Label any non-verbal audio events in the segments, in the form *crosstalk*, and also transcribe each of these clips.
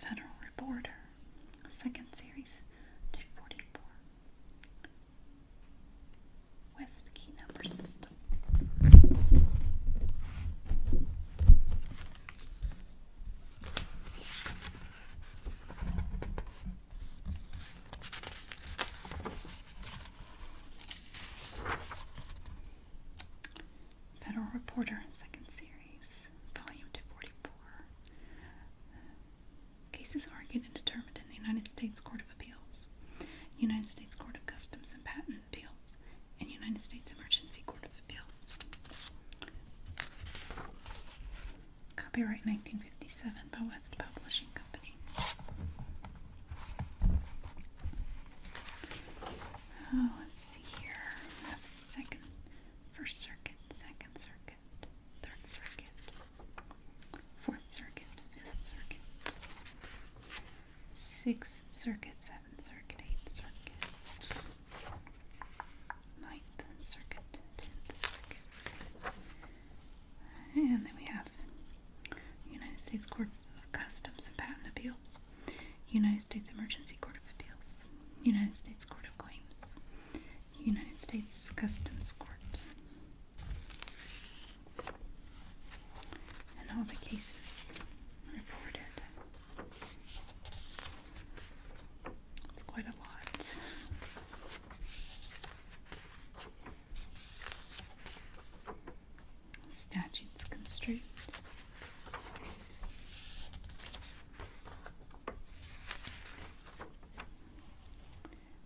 Federal Reporter, Second Series, 244. West Key Number System. Federal Reporter, second series, volume 244. Cases argued and determined in the United States Court of Appeals, United States Court of Customs and Patent Appeals, and United States Emergency Court of Appeals. Copyright 1957 by West Publishing Company. Oh, let's see here. That's second, first circuit, second circuit, third circuit, fourth circuit, fifth circuit, sixth circuit, seventh circuit, eighth circuit, ninth circuit, tenth circuit. And then we have United States Courts of Customs and Patent Appeals. United States Emergency Court of Appeals, United States Court of Claims, United States Customs Court. And all the cases reported. It's quite a lot statutes construed.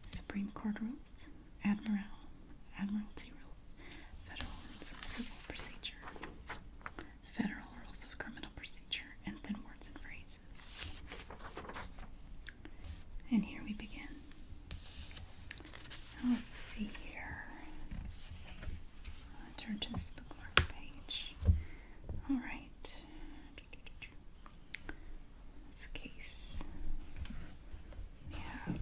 Supreme Court rules, Admiral, Admiralty rules, Federal Rules of Civil Procedure, Federal Rules of Criminal Procedure, and then words and phrases. And here we begin. Let's see here. Uh, turn to this bookmark page. All right. This case. We have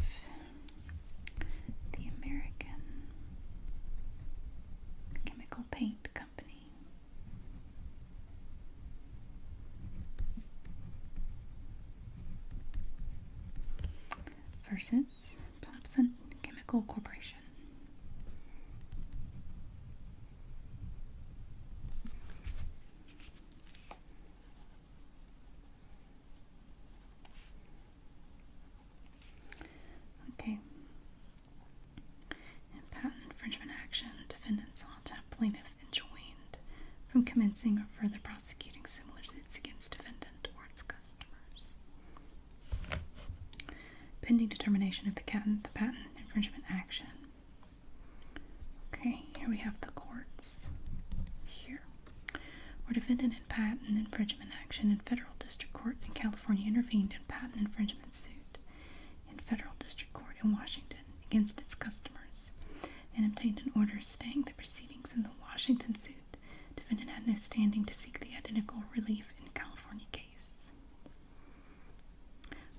the American Chemical Paint Company. Versus Thompson Chemical Corporation. Okay. In patent infringement action, defendants sought to have plaintiff enjoined from commencing or further prosecuting similar suits against defendant or its customers. Pending determination of the patent, infringement action. Okay, here we have the courts. Here, where defendant in patent infringement action in federal district court in California intervened in patent infringement suit in federal district court in Washington against its customers and obtained an order staying the proceedings in the Washington suit defendant had no standing to seek the identical relief in California cases.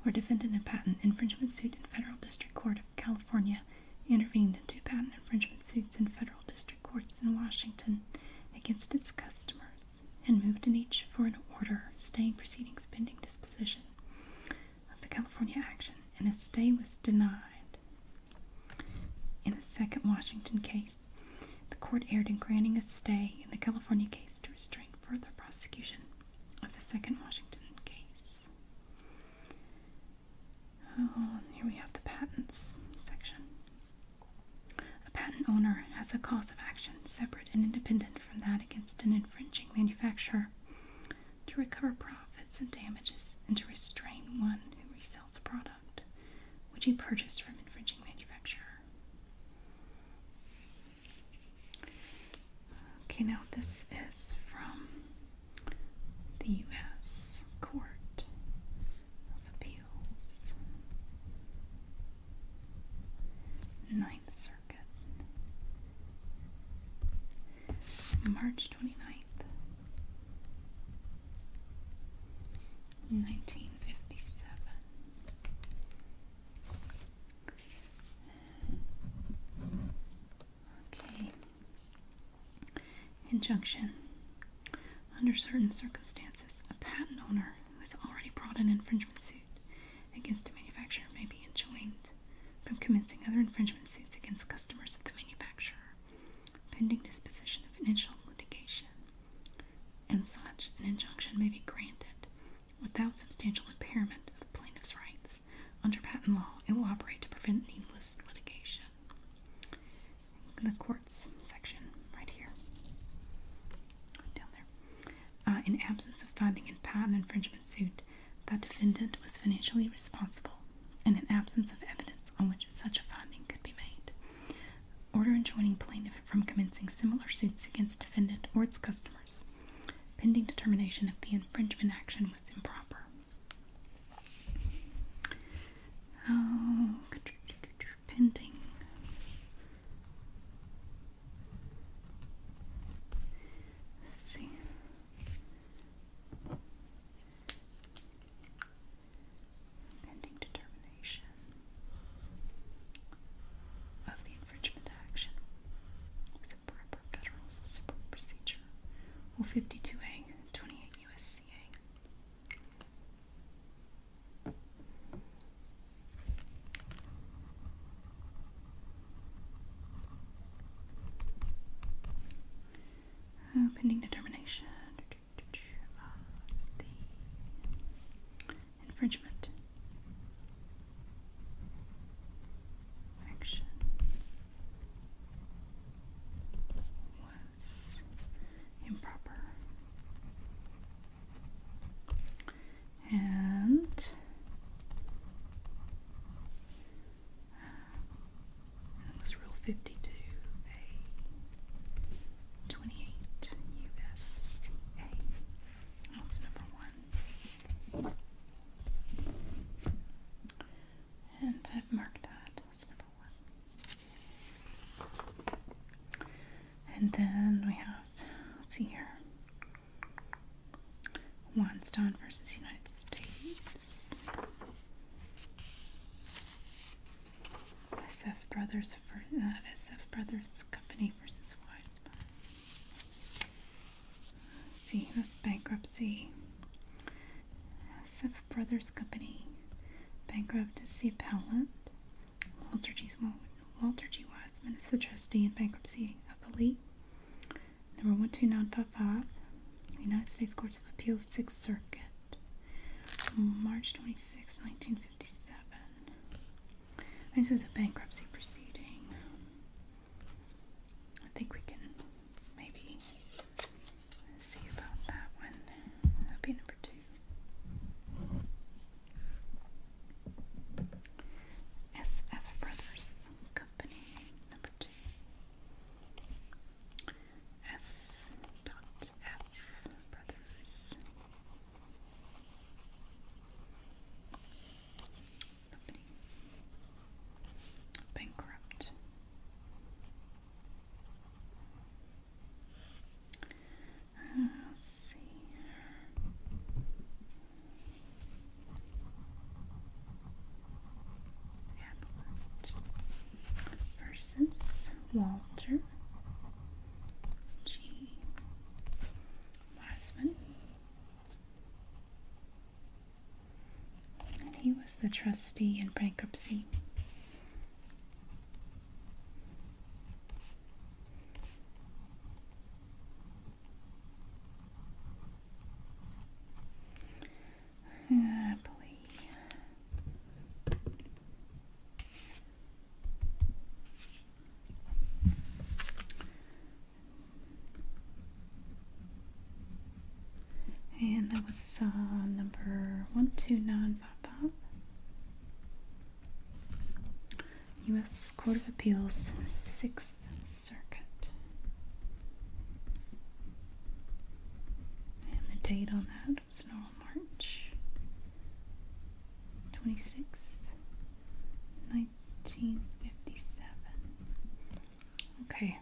Where defendant in a patent infringement suit in Federal District Court of California intervened in two patent infringement suits in federal district courts in Washington against its customers and moved in each for an order staying proceedings pending disposition of the California action, and a stay was denied. In the second Washington case, the court erred in granting a stay in the California case to restrain further prosecution of the second Washington case. Oh, here we have the patents section. A patent owner has a cause of action separate and independent from that against an infringing manufacturer to recover profits and damages and to restrain one who resells products which he purchased from infringing manufacturer. Okay, now this is from the U.S. Court of Appeals, Ninth Circuit, March 29th, Nineteen fifty seven. Okay. Injunction. Under certain circumstances, a patent owner who has already brought an infringement suit against a manufacturer may be enjoined from commencing other infringement suits against customers of the manufacturer pending disposition of initial litigation. And such an injunction may be granted without substantial impairment of the plaintiff's rights. Under patent law, it will operate to prevent needless litigation. The courts section, right here, down there. Uh, in absence of finding in patent infringement suit that defendant was financially responsible, and in absence of evidence on which such a finding could be made, Order enjoining plaintiff from commencing similar suits against defendant or its customers. Pending determination if the infringement action was improper. Oh, pending. Let's see. Pending determination of the infringement action is a proper federal civil procedure or 52A 28 USCA. Oh, pending determination. Uh, the infringement action was improper. And uh, was Rule 52A. 28 USCA. That number one. And I've that as number one. And then we have, let's see here, Wanstone versus United States. SF Brothers for uh, SF Brothers Company versus Weisman. Let's see, that's bankruptcy. SF Brothers Company, bankruptcy appellant. Walter G. Walter G. Weisman is the trustee in bankruptcy appellee. Number 12955, United States Courts of Appeals, Sixth Circuit. March 26, 1957. This is a bankruptcy proceeding. I think we can maybe see about that one. That'll be number two. SF Brothers Company, number two. S. Dot F. Brothers. Company. Bankrupt. Uh, let's see. Hamlet versus Walter G. Wiseman. And he was the trustee in bankruptcy. Happily and that was uh, number 129 pop up. U.S. Court of Appeals, Sixth Circuit. And the date on that was November March 26th, 1957. Okay.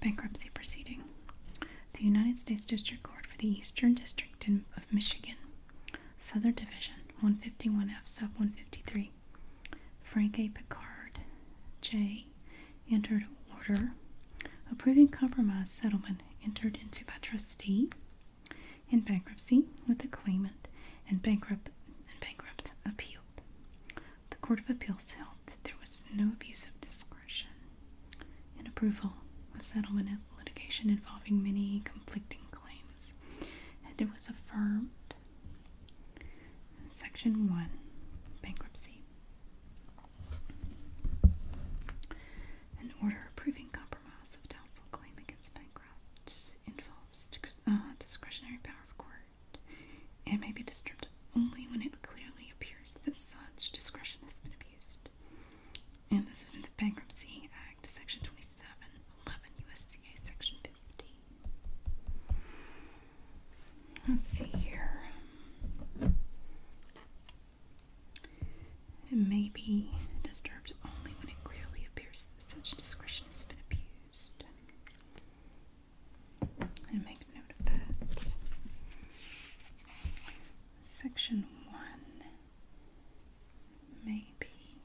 Bankruptcy proceeding. The United States District Court for the Eastern District of Michigan, Southern Division, 151F, Sub 153. Frank A. Picard, J entered order approving compromise settlement entered into by trustee in bankruptcy with the claimant and bankrupt and bankrupt appealed. The Court of Appeals held that there was no abuse of discretion in approval of settlement of litigation involving many conflicting claims, and it was affirmed. Section 1 Bankruptcy an order approving compromise of doubtful claim against bankrupt involves uh, discretionary power of court and may be disturbed only when it clearly appears that such discretion has been abused. And this is in the Bankruptcy Act, Section 2711 USCA, Section 50. Let's see here. It may be disturbed only when it clearly appears such discretion has been abused. And make note of that. Section 1. Maybe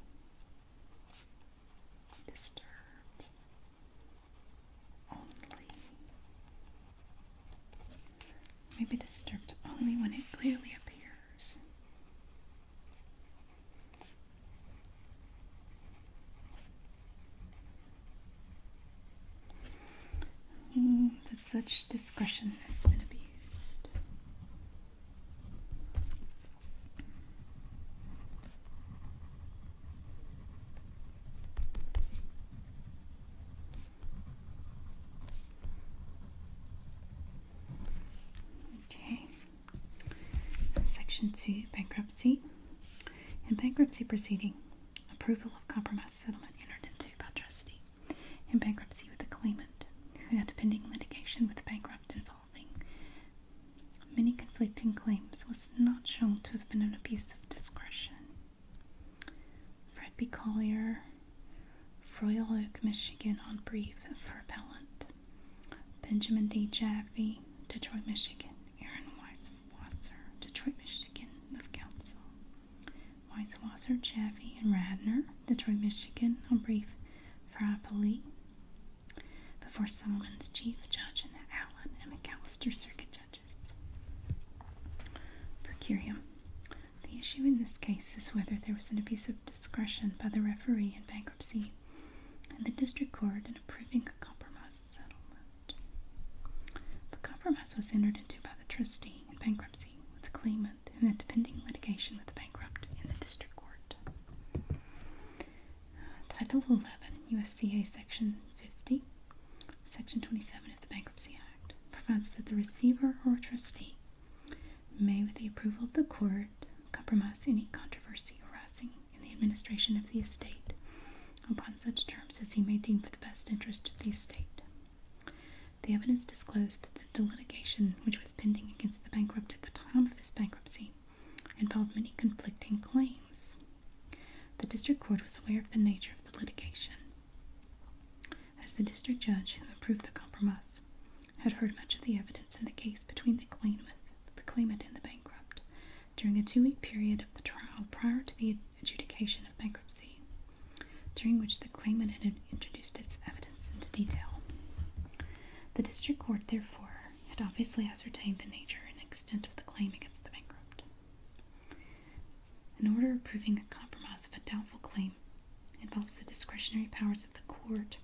disturbed only may be disturbed only when it clearly appears. Mm, that such discretion has been abused. Okay. Section 2 Bankruptcy. In bankruptcy proceeding, approval of compromise settlement entered into by trustee in bankruptcy with a claimant who had pending litigation with the bankrupt involving many conflicting claims was not shown to have been an abuse of discretion Fred B. Collier, Royal Oak, Michigan on brief for appellant. Benjamin D. Jaffe, Detroit, Michigan. Aaron Weisswasser, Detroit, Michigan, of counsel. Weisswasser, Jaffe, and Radner, Detroit, Michigan on brief for appellee. Before Solomon's Chief Judge and Allen and McAllister Circuit Judge judges. Per curiam. The issue in this case is whether there was an abuse of discretion by the referee in bankruptcy and the district court in approving a compromise settlement. The compromise was entered into by the trustee in bankruptcy with the claimant in a pending litigation with the bankrupt in the district court. Title 11 USCA Section 50 Section 27 of the Bankruptcy Act provides that the receiver or trustee may, with the approval of the court, compromise any controversy arising in the administration of the estate upon such terms as he may deem for the best interest of the estate. The evidence disclosed that the litigation which was pending against the bankrupt at the time of his bankruptcy involved many conflicting claims. The district court was aware of the nature of the litigation as the district judge who approved the compromise had heard much of the evidence in the case between the claimant, the claimant and the bankrupt during a two week period of the trial prior to the adjudication of bankruptcy, during which the claimant had introduced its evidence into detail. The district court, therefore, had obviously ascertained the nature and extent of the claim against the bankrupt. In order of proving a compromise of a doubtful claim involves the discretionary powers of the court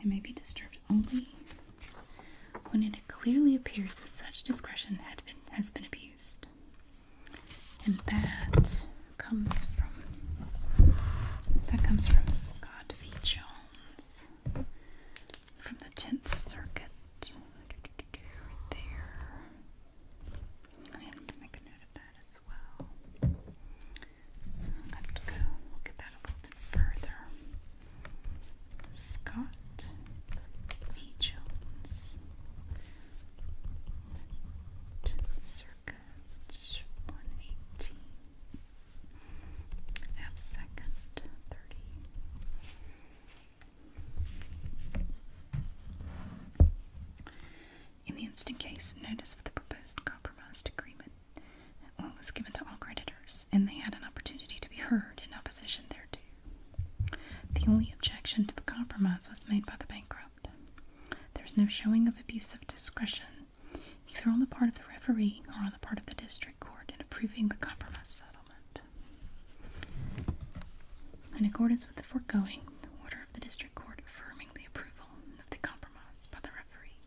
and may be disturbed only when it clearly appears that such discretion has been abused. And that comes from that comes from Scott v. Jones from the Tenth Circuit. Right there. I have to make a note of that as well. I'll have to go look that a little bit further. Scott V. Jones. Circa 118. Half second, 30. In the instant case, notice of the proposed compromise agreement was given to all creditors, and they had an opportunity to be heard in opposition thereto. The only objection to the compromise was made by the bankrupt. There is no showing of abuse of discretion, either on the part of the referee or on the part of the district court, in approving the compromise settlement. In accordance with the foregoing, the order of the District Court affirming the approval of the compromise by the referee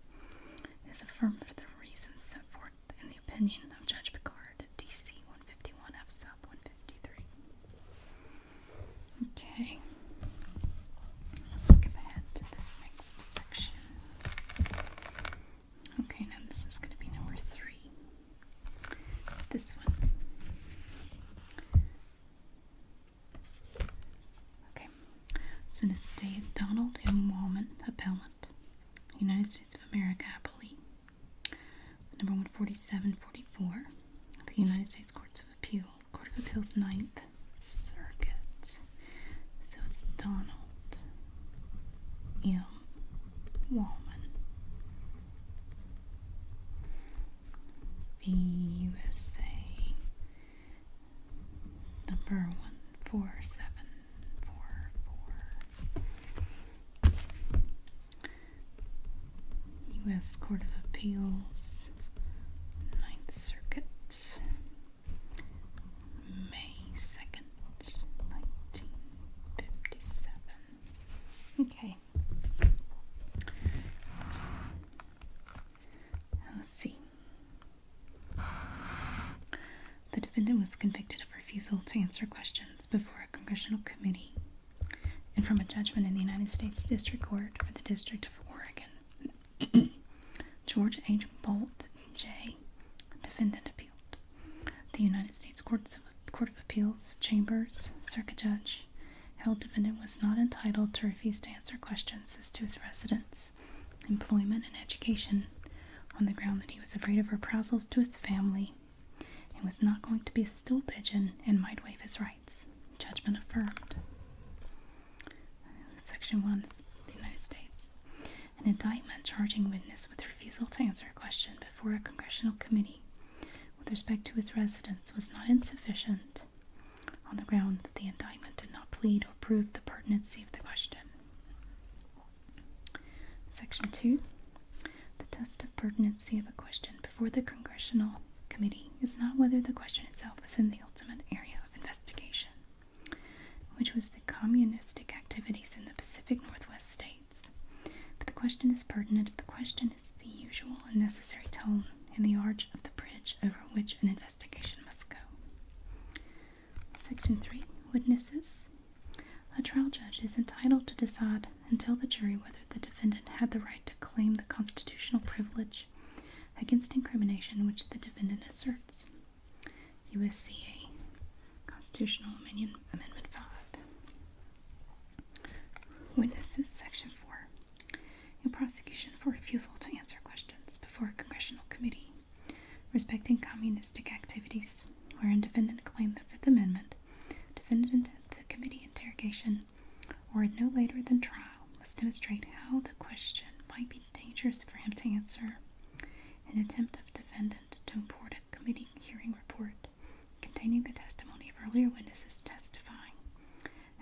is affirmed for the reasons set forth in the opinion of Judge Picard, D.C. 151 F. Sub 153. Okay, let's skip ahead to this next section. Okay, now this is going to be number three. This one. Okay. So it's day Donald M. Wallman, appellant, United States of America, appellee. Number 14744, the United States Courts of Appeal, Court of Appeals, Ninth Circuit. So it's Donald M. Walman. The USA number one four seven four four US Court of Appeals Ninth Circuit May second nineteen fifty seven. Okay. Let's see. The defendant was convicted of refusal to answer questions before a congressional committee and from a judgment in the United States District Court for the District of Oregon. *clears throat* George H. Bolt, J. Defendant appealed. The United States Courts Court of Appeals Chambers Circuit Judge held defendant was not entitled to refuse to answer questions as to his residence, employment, and education on the ground that he was afraid of reprisals to his family and was not going to be a stool pigeon and might waive his rights. Judgment affirmed. Section 1 United States. An indictment charging witness with refusal to answer a question before a congressional committee with respect to his residence was not insufficient on the ground that the indictment did not plead or prove the pertinency of the question. Section 2. The test of pertinency of a question before the Congressional Committee is not whether the question itself was in the ultimate area of investigation, which was the communistic activities in the Pacific Northwest states but the question is pertinent if the question is the usual and necessary tone in the arch of the bridge over which an investigation must go. Section 3 Witnesses. A trial judge is entitled to decide and tell the jury whether the defendant had the right to claim the constitutional privilege against incrimination which the defendant asserts. USCA Constitutional Amendment, Amendment 5. Witnesses Section 4. In prosecution for refusal to answer questions before a congressional committee respecting communistic activities, wherein defendant claimed the Fifth Amendment, defendant the committee interrogation, or no later than trial, must demonstrate how the question might be dangerous for him to answer. An attempt of defendant to import a committee hearing report containing the testimony of earlier witnesses testifying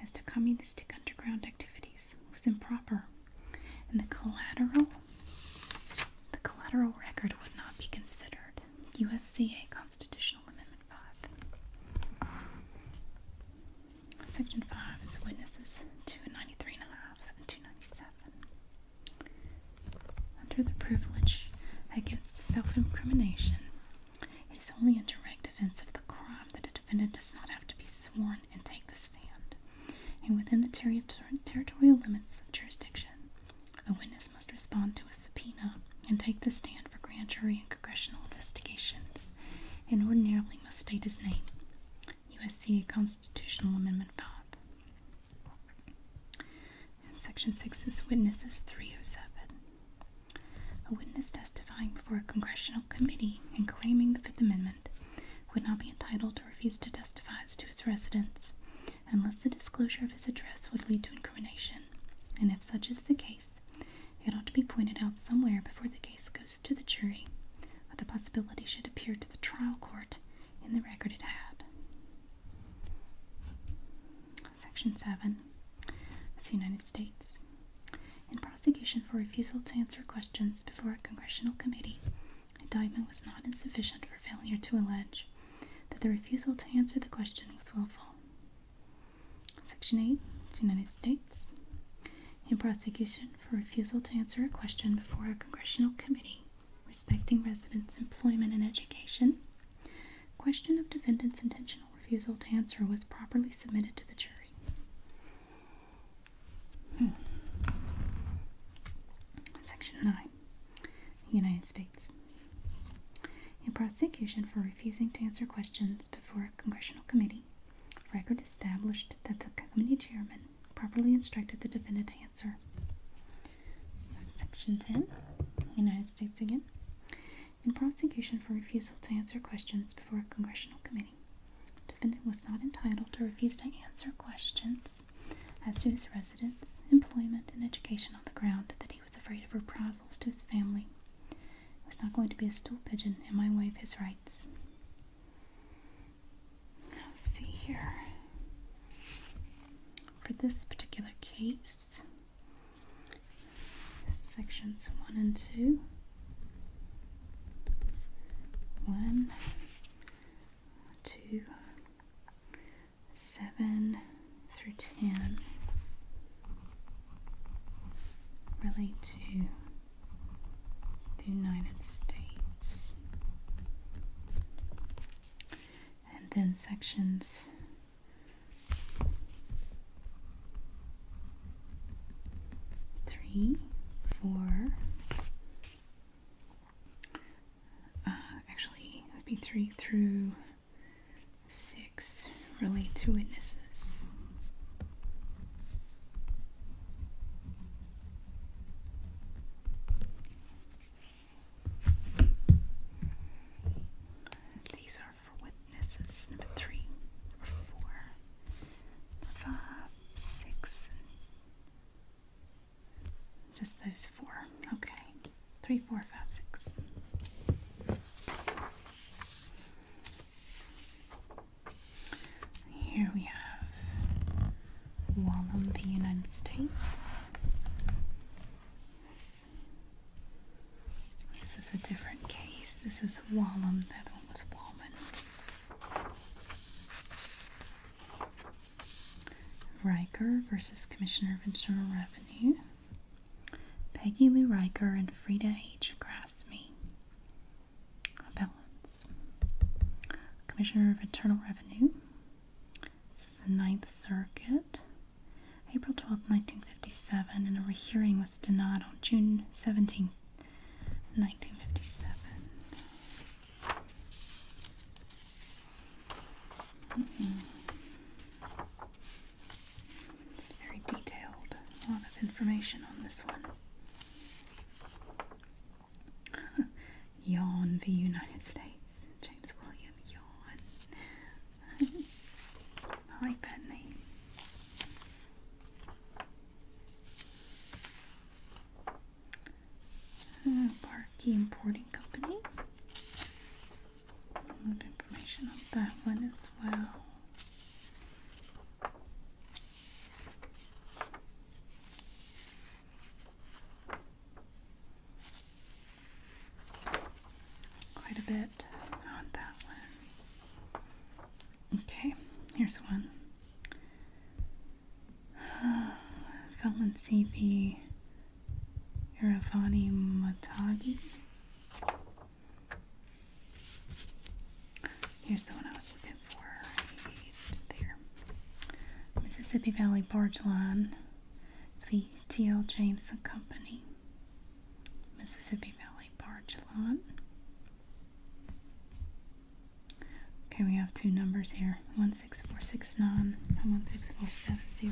as to communistic underground activities was improper, and the collateral the collateral record would not be considered. USCA Constitutional Amendment 5. Section 5 is witnesses 293 and 297. Under the privilege against self incrimination, it is only in direct defense of the crime that a defendant does not have to be sworn and take the stand. And within the territorial limits of jurisdiction, a witness must respond to a subpoena and take the stand for grand jury and congressional investigations, and ordinarily must state his name. USC Constitutional Amendment 5. Section 6 is Witnesses 307. A witness testifying before a congressional committee and claiming the Fifth Amendment would not be entitled to refuse to testify as to his residence unless the disclosure of his address would lead to incrimination, and if such is the case, it ought to be pointed out somewhere before the case goes to the jury, that the possibility should appear to the trial court in the record it had. Section 7. the United States, in prosecution for refusal to answer questions before a congressional committee, indictment was not insufficient for failure to allege that the refusal to answer the question was willful. Section 8. United States. In prosecution for refusal to answer a question before a congressional committee respecting residents' employment and education, Question of defendant's intentional refusal to answer was properly submitted to the jury. Hmm. Section 9. United States. In prosecution for refusing to answer questions before a congressional committee, record established that the committee chairman properly instructed the defendant to answer. Section 10. United States again. In prosecution for refusal to answer questions before a congressional committee. Defendant was not entitled to refuse to answer questions as to his residence, employment, and education on the ground that he was afraid of reprisals to his family. I was not going to be a stool pigeon and my way his rights. see here. For this particular case, sections one and two. One, two, seven through ten relate to the United States. And then sections three, four. Uh, actually, would be three through six relate to witnesses. These are witnesses. Number three Just those four. Okay. Three, four, five, six. Here we have Wallam, the United States. This is a different case. This is Wallum. That one was Wallman. Riker versus Commissioner of Internal Revenue. Peggy Lou Riker and Frieda H. Grassme. Balance. Commissioner of Internal Revenue. This is the Ninth Circuit. April 12, 1957, and a rehearing was denied on June 17, 1957. Mm-hmm. very detailed, a lot of information on this one. *laughs* yawn v. United States. James William, yawn. I like that uh, Importing Company. A information on that one as well quite a bit on that one. Okay, here's one. *sighs* Felon CP Iravani Matagi. Here's the one I was looking for. There. Mississippi Valley Barge Line, VTL James Company. Mississippi Valley Barge Lot. Okay, we have two numbers here 16469 and 16470.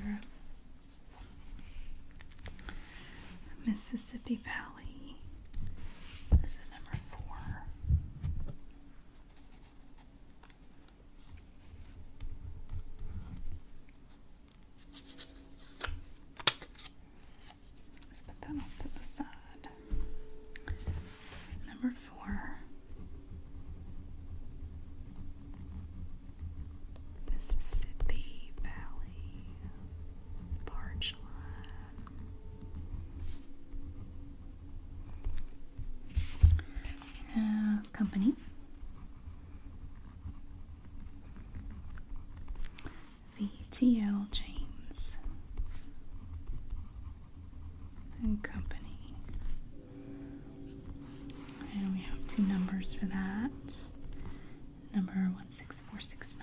Mississippi Valley. This is number four. Let's put that off to the side. Number four. Mississippi Valley Barge uh, Company VTL James and Company. And we have two numbers for that. Number 16469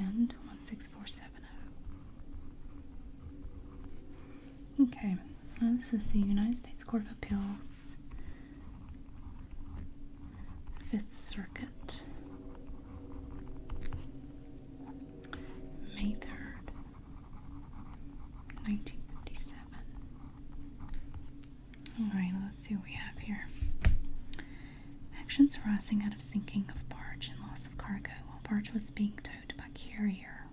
and 16470. Okay, this is the United States Court of Appeals, Fifth Circuit, May 3rd, 1957. Alright, let's see what we have here. Actions arising out of sinking of barge and loss of cargo while barge was being towed by carrier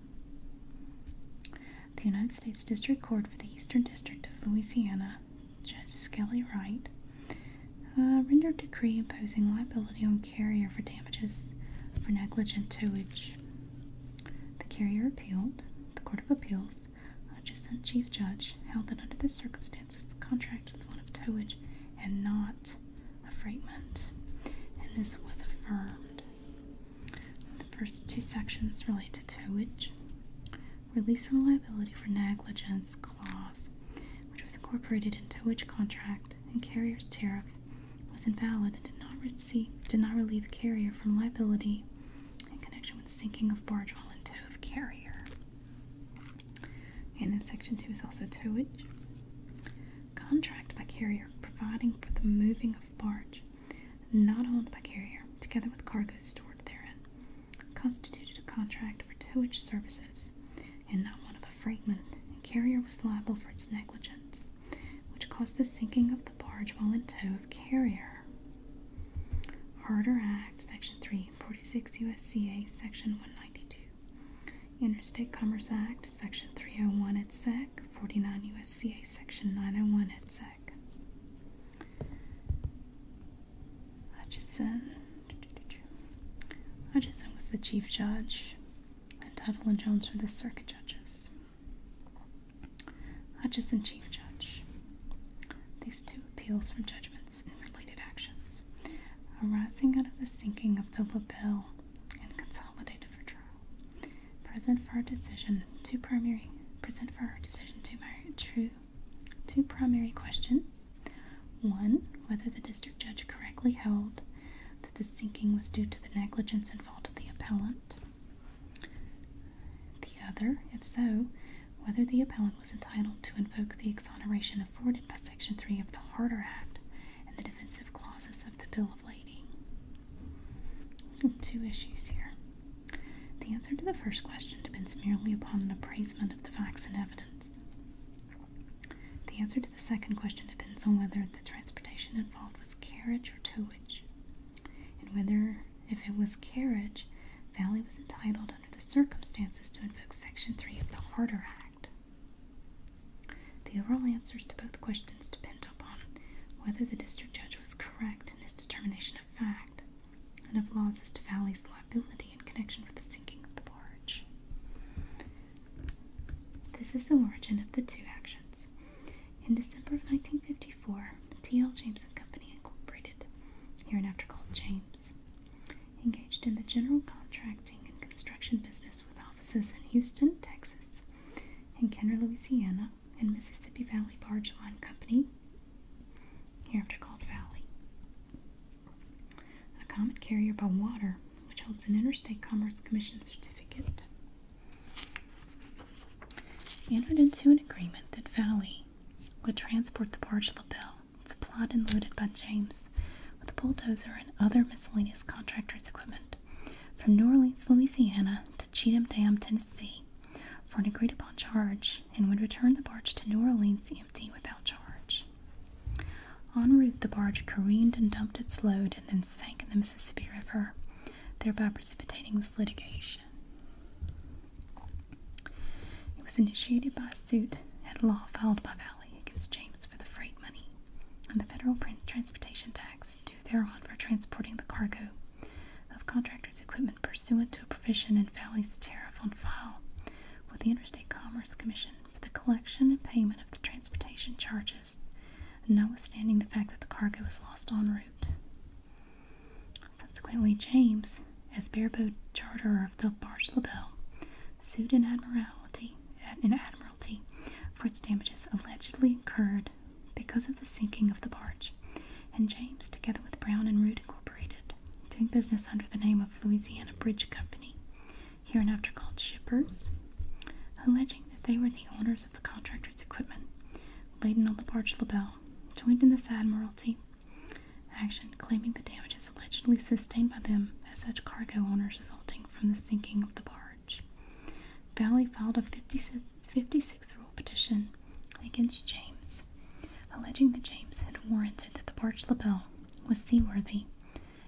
the United States District Court for the Eastern District of Louisiana, Judge Skelly Wright, uh, rendered a decree imposing liability on carrier for damages for negligent towage. The carrier appealed. The Court of Appeals, adjacent chief judge, held that under the circumstances the contract was one of towage and not a freightment, and this was affirmed. The first two sections relate to towage, release from liability for negligence clause, which was incorporated into towage contract and carrier's tariff, was invalid and did not relieve carrier from liability in connection with sinking of barge while in tow of carrier. And then section two is also towage. Contract by carrier providing for the moving of barge not owned by carrier, together with cargo stored therein, constituted a contract for towage services, and not one of a fragment. And carrier was liable for its negligence, which caused the sinking of the barge while in tow of carrier. Harter Act, Section 3, 46 USCA, Section 192. Interstate Commerce Act, Section 301 et sec, 49 USCA, Section 901 et sec back. Hutchison. Hutchison was the chief judge, and Tuttle and Jones were the circuit judges. Hutchison, chief judge. These two appeals for judgments and related actions arising out of the sinking of the LaBelle and consolidated for trial present for our decision two primary present for our decision two true two primary questions. One, whether the district judge correctly held that the sinking was due to the negligence and fault of the appellant. The other, if so, whether the appellant was entitled to invoke the exoneration afforded by Section 3 of the Harder Act and the defensive clauses of the Bill of Lading two issues here. The answer to the first question depends merely upon an appraisement of the facts and evidence. The answer to the second question depends on whether the transportation involved was carriage or towage, and whether, if it was carriage, Valley was entitled under the circumstances to invoke Section 3 of the Harder Act. The overall answers to both questions depend upon whether the district judge was correct correct in his determination of fact and of laws as to Valley's liability in connection with the sinking of the barge. This is the origin of the two actions. In December of 1954, T.L. James and Company Incorporated, hereinafter called James, engaged in the general contracting and construction business with offices in Houston, Texas, and Kenner, Louisiana, and Mississippi Valley Barge Line Company, hereafter called Valley. A common carrier by water, which holds an Interstate Commerce Commission certificate. He entered into an agreement that Valley would transport the barge lapel, supplied and loaded by James, with a bulldozer and other miscellaneous contractors' equipment from New Orleans, Louisiana to Cheatham Dam, Tennessee, for an agreed upon charge, and would return the barge to New Orleans empty without charge. En route, the barge careened and dumped its load and then sank in the Mississippi River, thereby precipitating this litigation. It was initiated by a suit at law filed by Valley against James for the freight money and the federal transportation tax thereon for transporting the cargo of contractors' equipment pursuant to a provision in Valley's tariff on file with the Interstate Commerce Commission for the collection and payment of the transportation charges, notwithstanding the fact that the cargo was lost en route. Subsequently, James, as bareboat charterer of the barge LaBelle, sued an admiralty, an admiralty for its damages allegedly incurred because of the sinking of the barge, and James, together with Brown and Root Incorporated, doing business under the name of Louisiana Bridge Company, hereinafter called shippers, alleging that they were the owners of the contractor's equipment laden on the barge La Belle, joined in this admiralty action claiming the damages allegedly sustained by them as such cargo owners resulting from the sinking of the barge. Valley filed a 56 56th rule petition against James, alleging that James had warranted that the barge lapel was seaworthy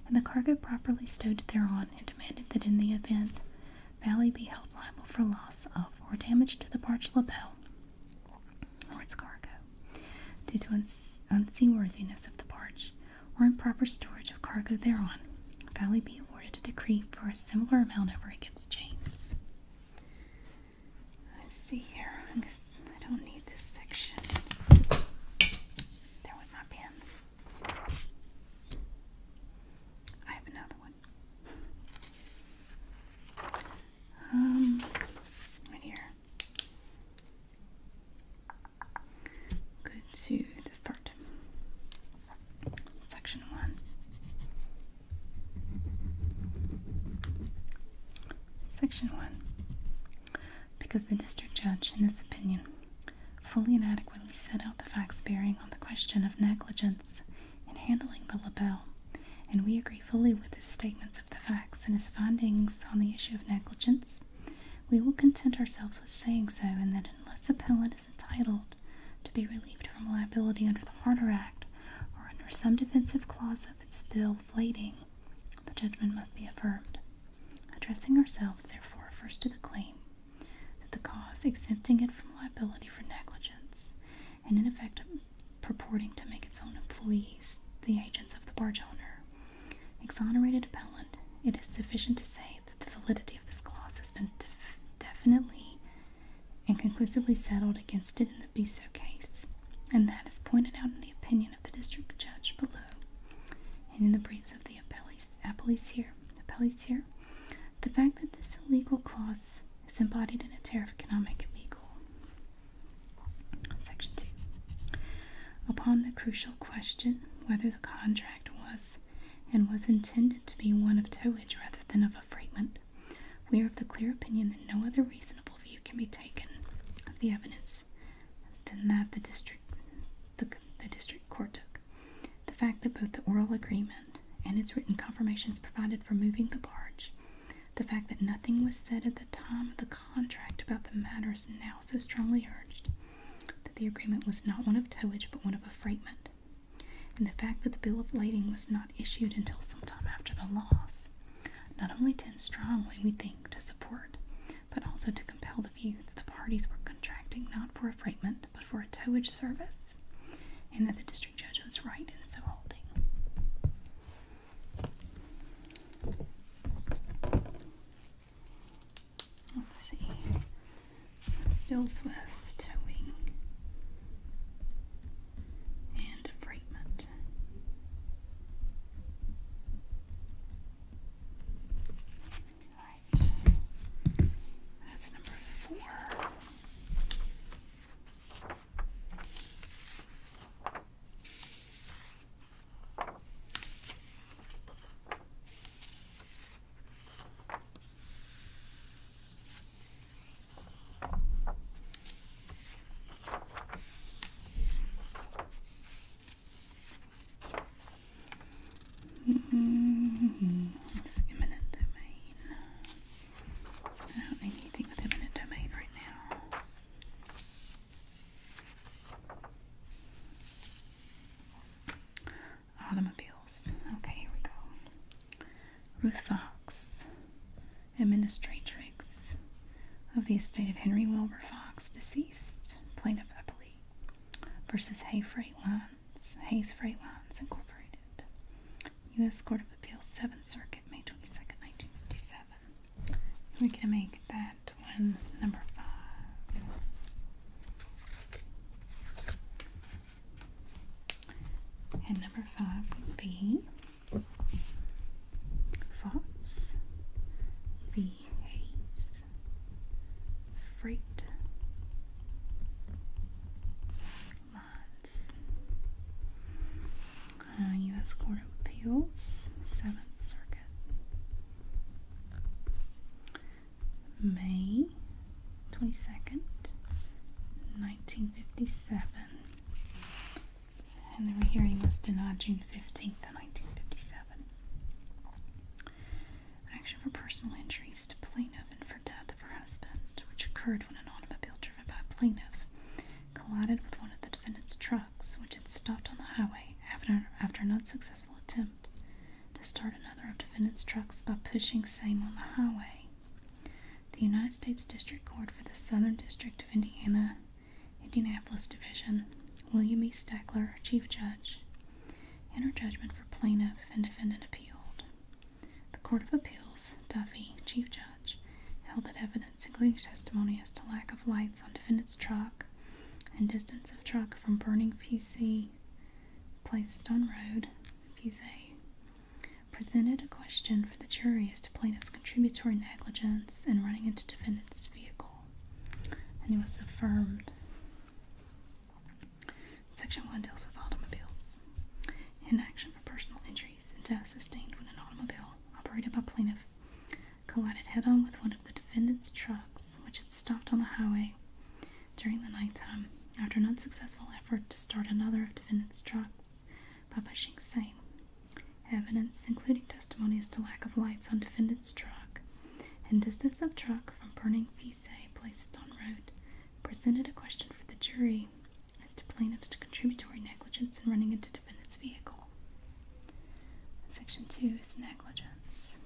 and the cargo properly stowed thereon, and demanded that in the event Valley be held liable for loss of or damage to the barge lapel or its cargo due to unseaworthiness of the barge or improper storage of cargo thereon, Valley be awarded a decree for a similar amount over against James. see here. I, don't need this section. There with my pen. I have another one. Um, right here. Go to this part. Section 1. Section 1. Because the district judge, in his opinion, fully and adequately set out the facts bearing on the question of negligence in handling the label, and we agree fully with his statements of the facts and his findings on the issue of negligence, we will content ourselves with saying so, and that unless appellant is entitled to be relieved from liability under the Harder Act or under some defensive clause of its bill flating, the judgment must be affirmed. Addressing ourselves, therefore, first to the claim that the cause exempting it from liability for negligence and in effect purporting to make its own employees the agents of the barge owner exonerated appellant, it is sufficient to say that the validity of this clause has been definitely and conclusively settled against it in the Biso case, and that is pointed out in the opinion of the district judge below and in the briefs of the appellees, here. The fact that this illegal clause is embodied in a tariff cannot make it Section 2. Upon the crucial question whether the contract was and was intended to be one of towage rather than of a freightment, we are of the clear opinion that no other reasonable view can be taken of the evidence than that the district the, district court took. The fact that both the oral agreement and its written confirmations provided for moving the barge, the fact that nothing was said at the time of the contract about the matters now so strongly urged, that the agreement was not one of towage but one of freightment and the fact that the bill of lading was not issued until some time after the loss not only tends strongly, we think, to support, but also to compel the view that the parties were contracting not for a freightment, but for a towage service, and that the district judge was right in so holding. Let's see. Stillsworth towing and affreightment. Right. That's number four. Mm-hmm. It's domain. I don't need anything with eminent domain right now automobiles. Okay, here we go. Ruth Fox, administratrix of the estate of Henry Wilbur Fox, deceased, plaintiff appellee, versus Hay Freight Lines, Hayes Freight Lines Incorporated, U.S. Court of Appeals, 7th Circuit, May 22nd, 1957. We're going to make that one number five. And number five would be Fox v. Hayes Freight Lines. U.S. Uh, Court of Appeals, Seventh Circuit. May 22nd, 1957. And the hearing was denied June 15th, 1957. Action for personal injuries to plaintiff for death of her husband, which occurred when an automobile driven by a plaintiff collided with one of the defendant's trucks, which had stopped on the highway after, after an unsuccessful attempt to start another of defendant's trucks by pushing same on the highway. The United States District Court for the Southern District of Indiana, Indianapolis Division, William E. Stackler, Chief Judge, entered judgment for plaintiff and defendant appealed. The Court of Appeals, Duffy, Chief Judge, held that evidence, including testimony as to lack of lights on defendant's truck and distance of truck from burning fusee placed on road, fusee, presented a question for the jury as to plaintiff's contributory negligence in running into defendant's vehicle, and it was affirmed. Section 1 deals with automobiles. in action for personal injuries and death sustained when an automobile operated by plaintiff collided head on with one of the defendant's trucks, which had stopped on the highway during the nighttime, after an unsuccessful effort to start another of defendant's trucks by pushing same, evidence, including testimonies to lack of lights on defendant's truck and distance of truck from burning fusee placed on road, presented a question for the jury as to plaintiffs to contributory negligence in running into defendant's vehicle. Section 2 is negligence.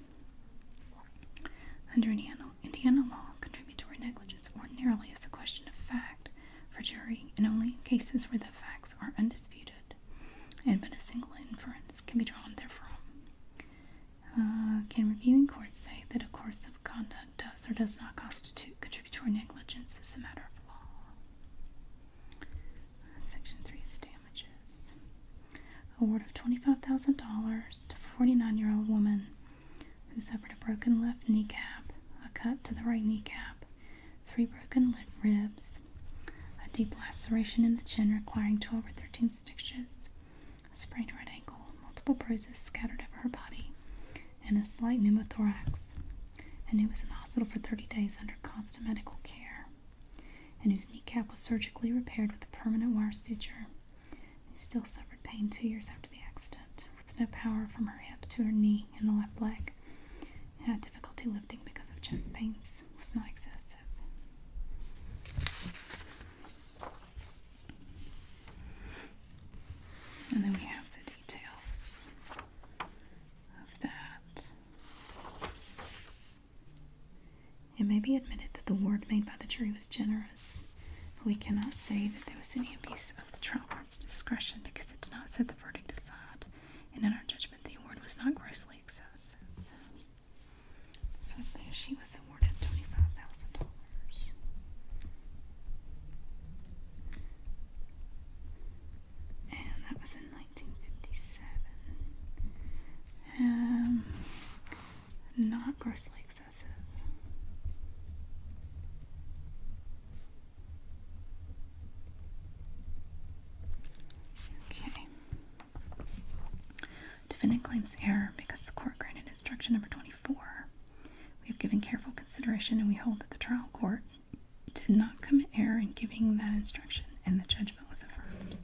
Under Indiana law, contributory negligence ordinarily is a question of fact for jury and only in cases where the facts are undisputed and but a single inference can be drawn therefrom. Uh, can reviewing courts say that a course of conduct does or does not constitute contributory negligence as a matter of law? section 3 is damages. Award of $25,000 to 49 year old woman who suffered a broken left kneecap, a cut to the right kneecap, three broken left ribs, a deep laceration in the chin requiring 12 or 13 stitches, a sprained right ankle, multiple bruises scattered over her body, and a slight pneumothorax, and who was in the hospital for 30 days under constant medical care, and whose kneecap was surgically repaired with a permanent wire suture. She still suffered pain two years after the accident, with no power from her hip to her knee and the left leg. and had difficulty lifting because of chest pains, was not excessive. And then we have the details of that. It may be admitted that the award made by the jury was generous. We cannot say that there was any abuse of the trial court's discretion because it did not set the verdict aside, and in our judgment, the award was not grossly excessive. So she was awarded $25,000. And that was in 1957. Um, not grossly excessive. Defendant claims error because the court granted instruction number 24. We have given careful consideration and we hold that the trial court did not commit error in giving that instruction and the judgment was affirmed.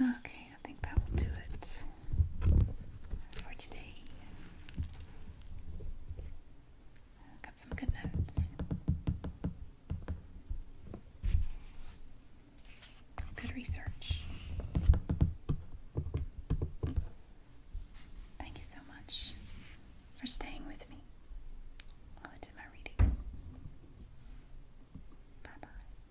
Okay, I think that will do it for today. Got some good notes. Good research. Thank you so much for staying with me while I did my reading. Bye bye.